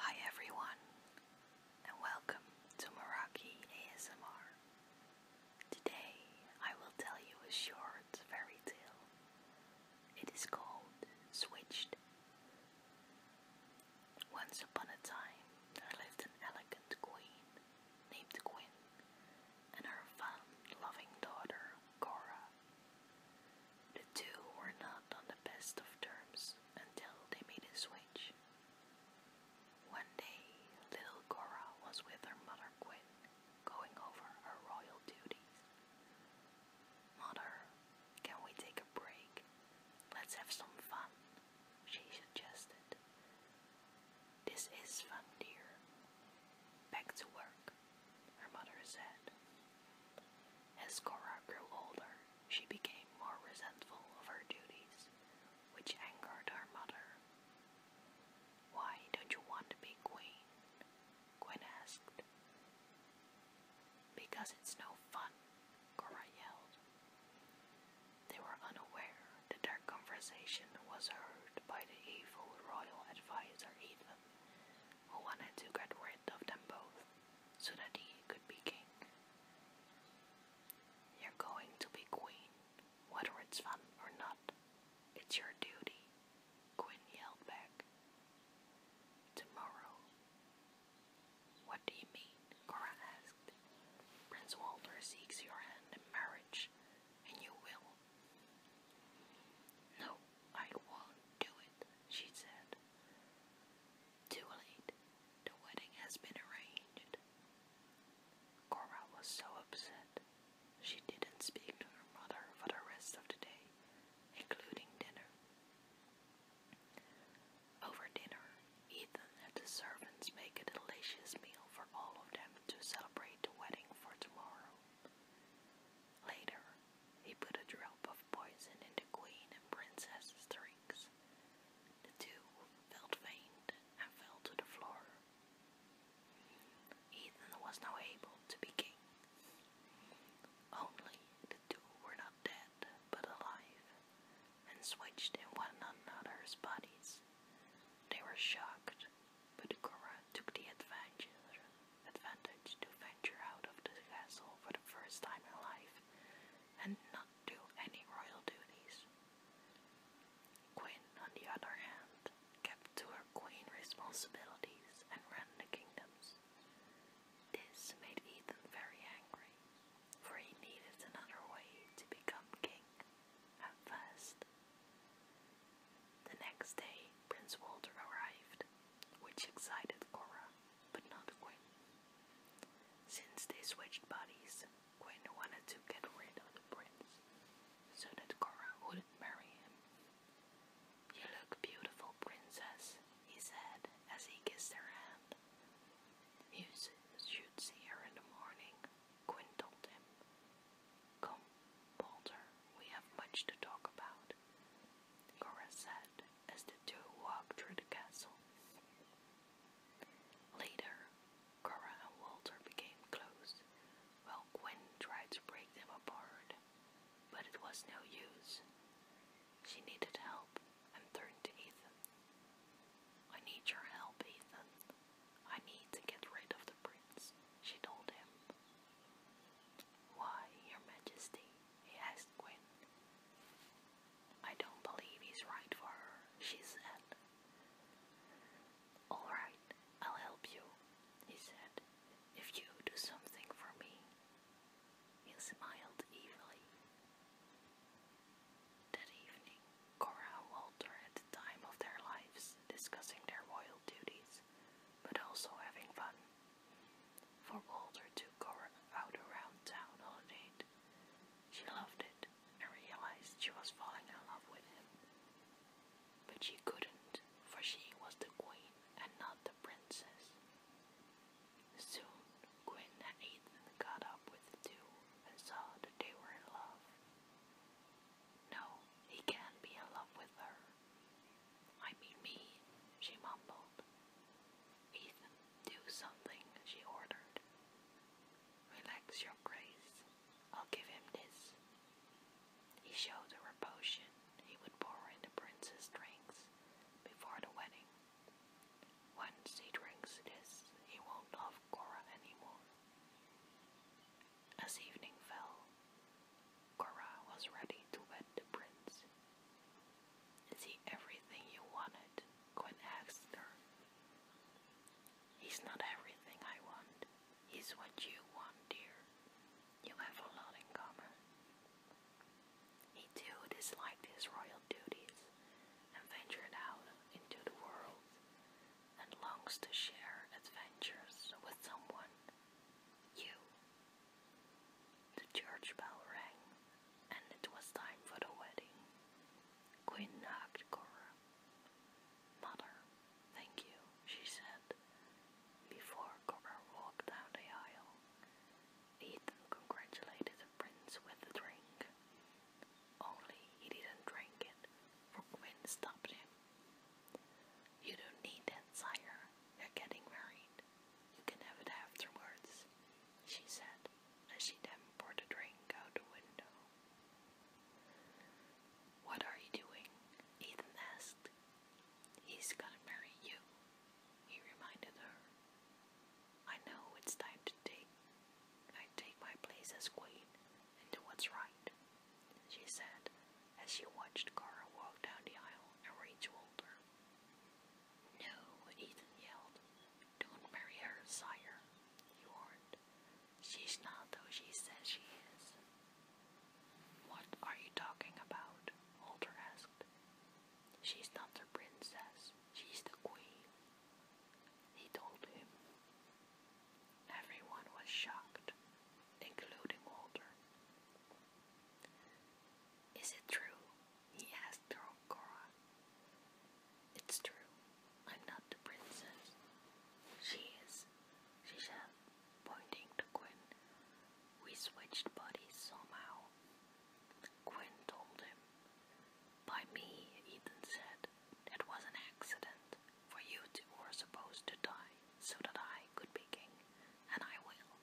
Hi everyone, and welcome to Meraki ASMR. Today I will tell you a short fairy tale. It is called Switched. Once upon a time, there lived an elegant queen named Quinn and her fun-loving daughter, Cora. The two were not on the best of terms until they made a switch. One day, little Cora was with her mother Gwen, going over her royal duties. Mother, can we take a break? Let's have some fun, she suggested. This is fun, dear. Back to work, her mother said. As Cora grew older, she became more resentful of her duties, which angered her mother. Why don't you want to be queen? Gwen asked. Because it's no fun, Cora yelled. They were unaware that their conversation was heard by the evil royal advisor Eva who wanted to get rid of them both so that he could be king. You're going to be queen, whether it's fun or not. It's your duty, Quinn yelled back. Tomorrow. What do you mean? Cora asked. Prince Walter seeks your hand in marriage, and you will. No, I won't do it, she said. Too late. The wedding has been arranged. Cora was so upset. She didn't speak to her mother for the rest of the day, including dinner. Over dinner, Ethan had the servants make a delicious meal for all of them to celebrate the wedding for tomorrow. Later, he put a drop of poison into Queen and Princess's drinks. The two felt faint and fell to the floor. Ethan was now able to be king. Only the two were not dead, but alive, and switched in one another's bodies. They were shocked, but Cora took the advantage advantage to venture out of the castle for the first time in life and not do any royal duties. Quinn, on the other hand, kept to her queen responsibilities and ran the kingdoms. This made Ethan very angry, for he needed another way to become king, At first. The next day, Prince Walter arrived, which excited Cora, but not Quinn. Since they switched bodies, Quinn wanted to get rid of the prince so that Cora wouldn't marry him. You look beautiful, princess, he said as he kissed her hand. You should see her in the morning, Quinn told him, Come, Balder, we have much to talk about, Gora said as the two walked through the castle. Later, Gora and Walter became close, while Gwen tried to break them apart, but it was no use. She needed help and turned to Ethan. I need your help, Ethan. I need to get rid of the prince, she told him. Why, your majesty, he asked Gwyn. I don't believe he's right for her, she said. All right, I'll help you, he said, if you do something for me. He smiled evilly. That evening, Cora and Walter had the time of their lives discussing their royal duties, but also having fun. For Walter to go out around town on a date, she loved it and realized she was falling in love with him. But she couldn't, for she was the queen and not the princess. Soon, Gwyn and Ethan got up with the two and saw that they were in love. No, he can't be in love with her. I mean me, she mumbled. Ethan, do something, she ordered. Relax your grace. I'll give him this. He showed her a potion he would pour in prince's drinks before the wedding. Once he drinks this, he won't love Cora anymore. As evening fell, Cora was ready to wed the prince. See everything you wanted, Gwen asked her. He's not everything I want, he's what you want, dear. You have a lot in common. He too disliked his royal duties and out into the world and longs to share adventures with someone you. The church bell rang, and it was time for the wedding. Queen hugged Cora. Mother, thank you, she said, before Cora walked down the aisle. Ethan congratulated the prince with the drink. Only he didn't drink it, for Quinn stopped him. You don't need that, sire. They're getting married. You can have it afterwards, she said, as she then poured a drink out the window. What are you doing? Ethan asked. He's gonna marry you, he reminded her. I know it's time to take I take my place as queen and do what's right, she said as she watched Kara walk down the aisle and reach Walter. No, Ethan yelled. Don't marry her, sire, he warned. She's not who she says she is. What are you talking about? Walter asked. She's not the princess, she's the queen, he told him. Everyone was shocked, including Walter. Is it true? he asked Cora. It's true. I'm not the princess. She is, she said, pointing to Quinn. We switched bodies somehow. Quinn told him. By me, Ethan said. It was an accident for you two were supposed to die so that I could be king, and I will,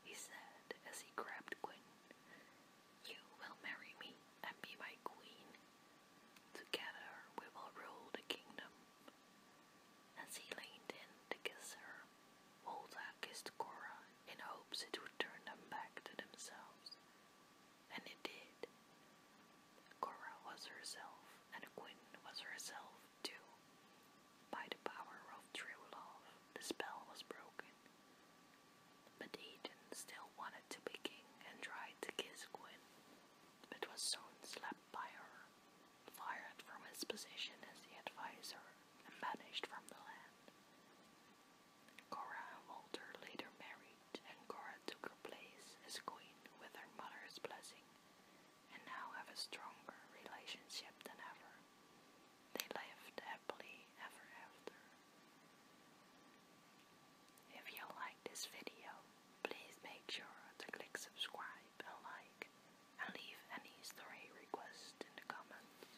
he said as he grabbed Quinn. You will marry me and be my queen. Together we will rule the kingdom. As he leaned in to kiss her, Walter kissed Cora in hopes it would turn them back to themselves. And it did. Cora was herself, and Quinn was herself, too. By the power of true love, the spell was broken. But Aiden still wanted to be king and tried to kiss Quinn, but was soon slapped by her, fired from his position as the advisor, and vanished from the land. Cora and Walter later married and Cora took her place as queen with her mother's blessing, and now have a stronger relationship than ever. They lived happily ever after. If you like this video, please make sure to click subscribe and like, and leave any story requests in the comments.